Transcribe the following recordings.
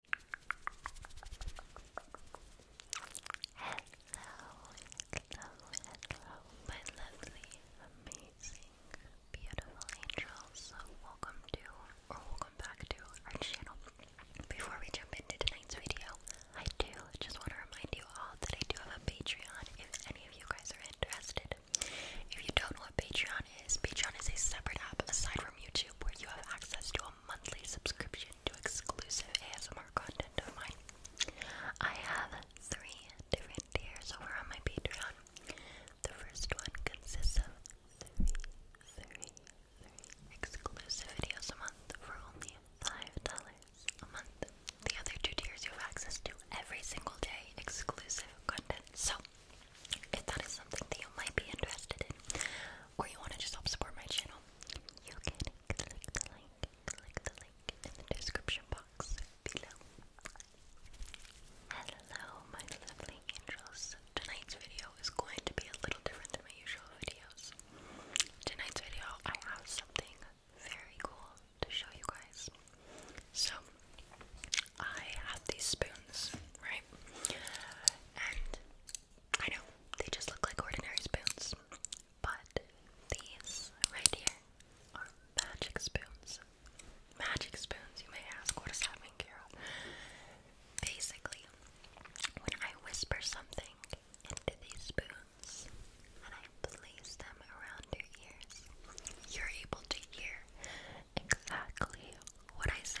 Hello, hello, hello, my lovely, amazing, beautiful angels. Welcome to, or welcome back to our channel. Before we jump into tonight's video, I do just want to remind you all that I do have a Patreon if any of you guys are interested. If you don't know what Patreon is, Patreon is a separate app aside from YouTube where you have access to monthly subscription to exclusive ASMR content of mine. I have three different tiers over on my Patreon. The first one consists of three, three, three exclusive videos a month for only $5 a month. The other two tiers you have access to every single day exclusive content. So, if that is something that you might be interested in, or you want to just help support my channel, you can click the link, click the link in the description box below. Hello, my lovely angels. Tonight's video is going to be a little different than my usual videos. Tonight's video, I have something very cool to show you guys. So, I have these spoons, right? And I know they just look like ordinary spoons, but these right here are magic spoons. Magic spoons, you may ask, what does that mean, Carol? Basically, when I whisper something into these spoons and I place them around your ears, you're able to hear exactly what I say.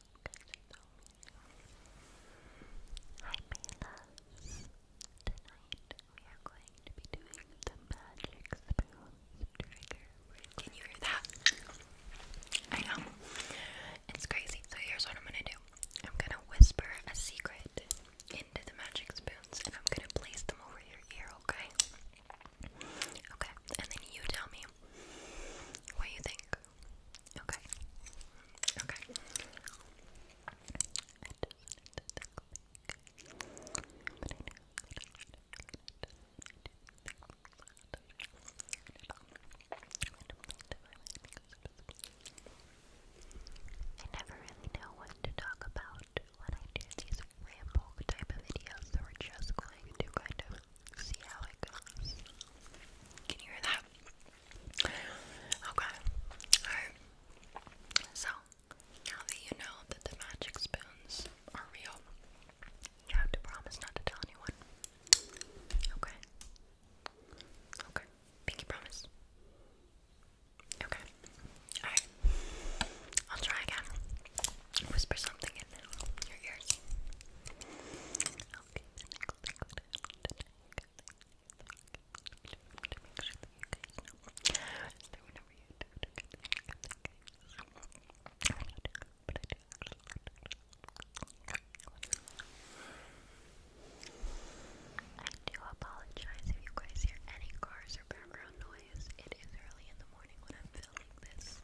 Hi, Maylas. Tonight we are going to be doing the magic spoons Can you hear that? I know. It's crazy. So here's what I'm gonna do. I'm gonna whisper a secret into the magic spoons, and I'm gonna place them over your ear. Okay. Okay. And then you tell me what you think. Okay. Okay. I never really know what to talk about when I do these ramble type of videos, so we're just going to kind of see how it goes. Can you hear that? Okay. Alright. So, now that you know that the magic spoons are real, you have to promise not to tell anyone. Okay. Okay. Pinky promise. Okay. Alright. I'll try again. Whisper something in your ears. Okay, the next thing that I have today, to make sure that you guys know, is that whenever you do it, I do, but I do I do apologize if you guys hear any cars or background noise. It is early in the morning when I'm filming this.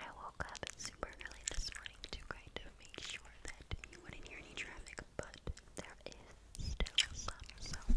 I woke up super early this morning to kind of make sure that you wouldn't hear any traffic, but there is still some,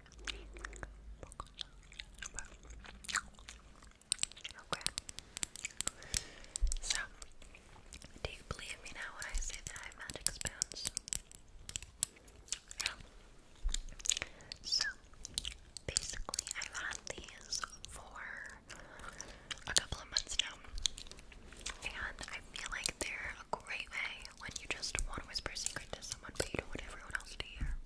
Okay. So, do you believe me now when I say that I have magic spoons? So, basically, I've had these for a couple of months now, and I feel like they're a great way when you just want to whisper a secret to someone, but don't want everyone else to hear.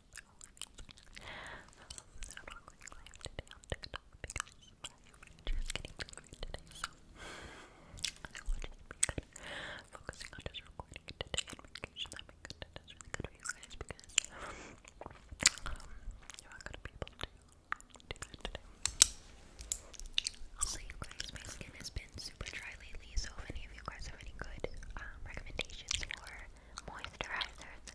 i getting delivered today, so I will just focusing on just recording today and making sure that my content is good for you because um, you going to be able to do that today. Also, you guys, my skin has been super dry lately, so if any of you guys have any good um, recommendations for moisturizers,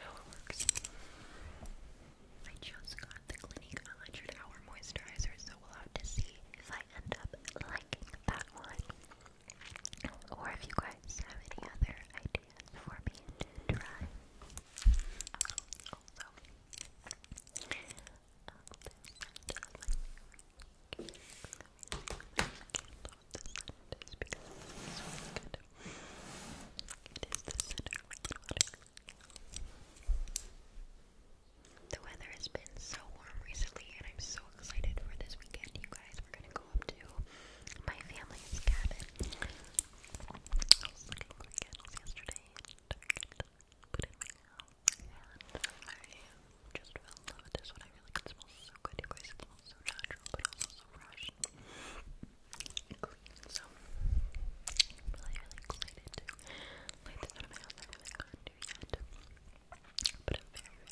how it works. I just got the Clinique 100 Hour Moisturizer, so we'll have to see if I end up liking that one. Or if you guys have any other ideas for me to try. Uh, also, uh, um, this scent of my favorite candles the weather has been so warm recently, and I'm so excited for this weekend, you guys. We're gonna go up to my family's cabin. I was looking for candles yesterday and I just fell in love with this one. I really like it smells so good, you guys. It smells so natural, but also so fresh clean, so really, really excited to light of my house that I haven't to yet, but I'm very, excited.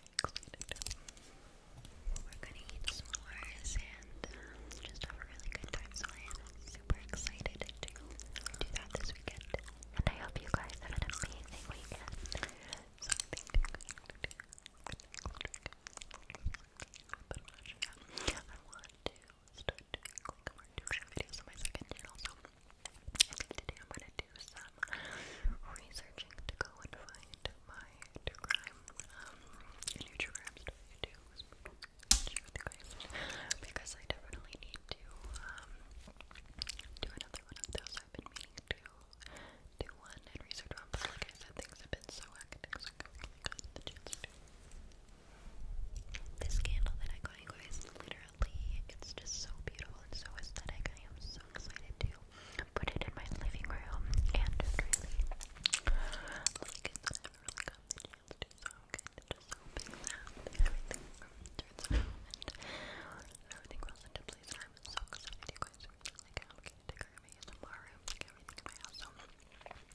We're gonna eat s'mores and just have a really good time, so I am super excited to do that this weekend. And I hope you guys have an amazing weekend. So but imagine I want to start doing like more videos on my second channel, so today I'm gonna do some researching to go and find my true crime, true crime stuff to do because I definitely need to, um, do another one of those. I've been meaning to to one and research one. But like I said, things have been so hectic, so I This candle that I got, you guys, literally, it's just so beautiful and so aesthetic. I am so excited to put it in my living room and like I said, I really got the chance to, so I'm just hoping that everything turns out and everything rolls into place. I'm so excited, guys. Like, how decorate my ASMR room, like everything my house. So I'm really, really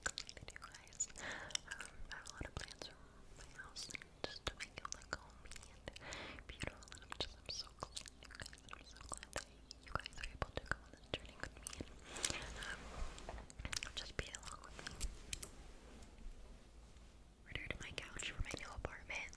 excited, you guys. Um, I have a lot of plans for my house just to make it look homey and beautiful. And I'm just, so glad, you guys. are able to go on this me um, just be along with me. Ordered my couch for my new apartment.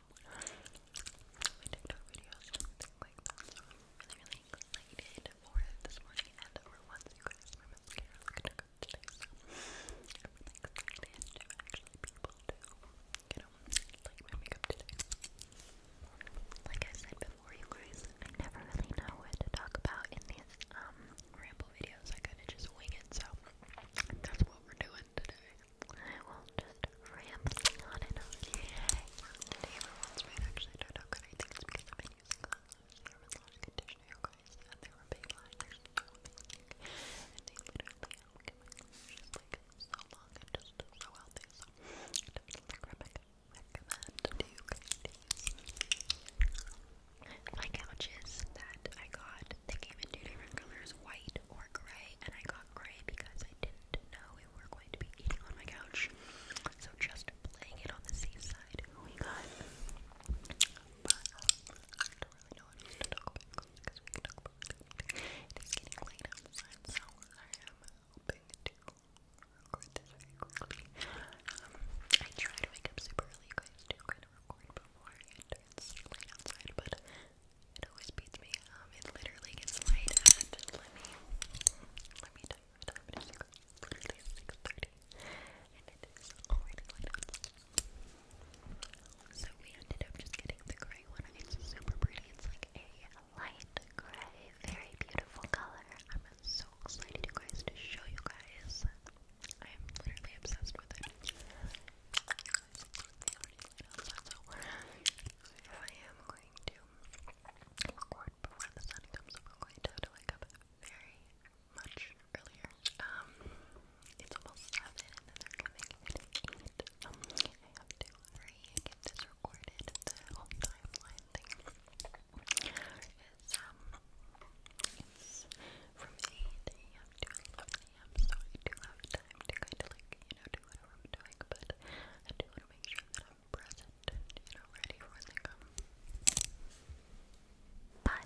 my TikTok videos like really, really excited for it this morning and for once you guys mascara gonna go today. So I'm really excited to actually be able to, you know, like my makeup today. Like I said before you guys, I never really know what to talk about in these um ramble videos. I kinda just wing it, so that's what we're doing today. I will just rambling on and on. The favorite ones might actually turn out good. I think it's because I've been using conditioner with lash conditioner, you guys, and they are so And they literally help get my and just so healthy. So definitely recommend My couches that I got, they came in two different colors, white or gray, and I got gray because I didn't know we were going to be eating on my couch. So just playing it on the safe side, we got. It is getting late outside, so I am hoping to record this very quickly. I try to wake up super early, guys do kind of record before it. It's late outside, but it always beats me. Um, it literally gets light at let me let me time the time it is literally six thirty, and it is already light up. So we ended up just getting the gray one. It's super pretty. It's like a light gray, very beautiful color. I'm so excited, you guys, to show you guys. I am literally obsessed with it guys, it's I am going to record before the sun comes up. I'm going to wake up very much earlier. Um, it's almost 7 and then they're coming Um, I have to hurry and get this recorded. The whole timeline thing is, um, it's from 8 a.m. to am, so I do have kind of like, you know, do whatever I'm doing, but I do want to make sure that I'm present you know, ready for when they come. But,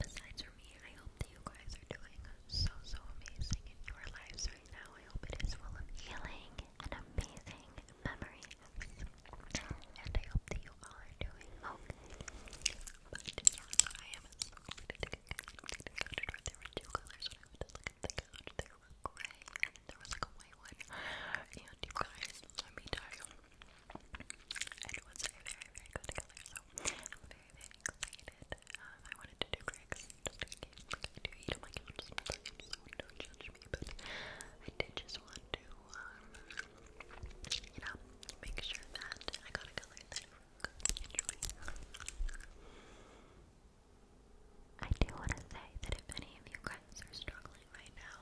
besides for me, I hope that you guys are doing so, so amazing in your lives right now. I hope it is full of healing and amazing memories. And I hope that you all are doing okay. But, I am so excited to get to go to when I would look at the couch, they were gray, and there was like a white one. And you guys, let me tell you, it very, very good color. So I'm very, very excited. I wanted to do Greg's just in case I do eat on my couch sometimes, so don't judge me. But I did just want to, you know, make sure that I got a color that I do want to say that if any of you guys are struggling right now,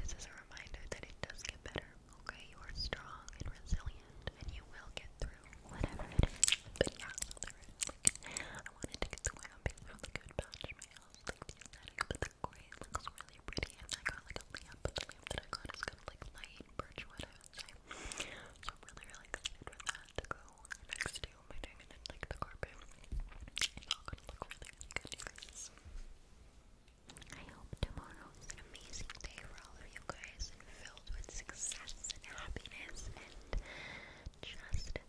this is a reminder that it does get better, okay? You are strong and resilient, and you will get through whatever it is. But yeah, I wanted to get the way I'm being really good patch my house, like, the aesthetic, but the gray looks really pretty, I got, like, a lamp, but the that I got is kind of, like, light birch Thursday. So I'm really, really excited for that to next to my thing and then like the gonna look really, really you I hope tomorrow is an amazing day for all of you guys and filled with success and happiness and just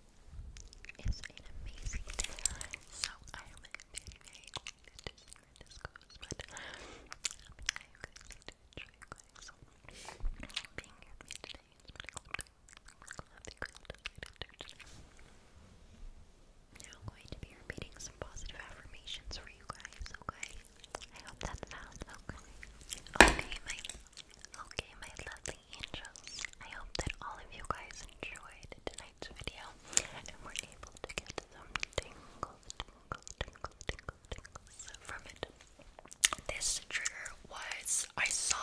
it's an amazing day. So I am very, very excited to see where this goes, but um, I hope you guys show you now going to be repeating some positive affirmations for you guys, okay? I hope that sounds okay. Okay, my okay, my lovely angels. I hope that all of you guys enjoyed tonight's video and were able to get some tingles, tingles, tingles, tingles, from it. This trigger was I saw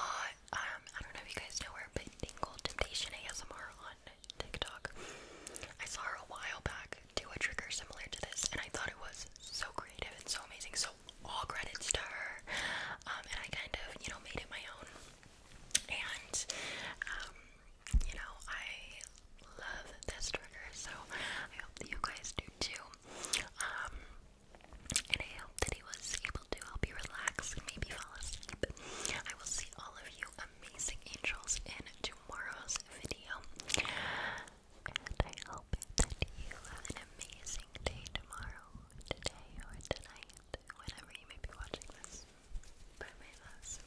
um I don't know if you guys know her, but Tingle Temptation ASMR on TikTok. I saw her a while back do a trigger similar to this, and I thought it was so creative and so amazing. So all credits to her. Um, and I kind of you know made it my own. And um, you know I love this trigger, so I hope that you guys do too. Um, and I hope that he was able to help you relax maybe fall asleep. I will see all of you amazing angels in tomorrow's video. And I hope that you have an amazing day tomorrow, today, or tonight, whenever you may be watching this. Bye, my loves.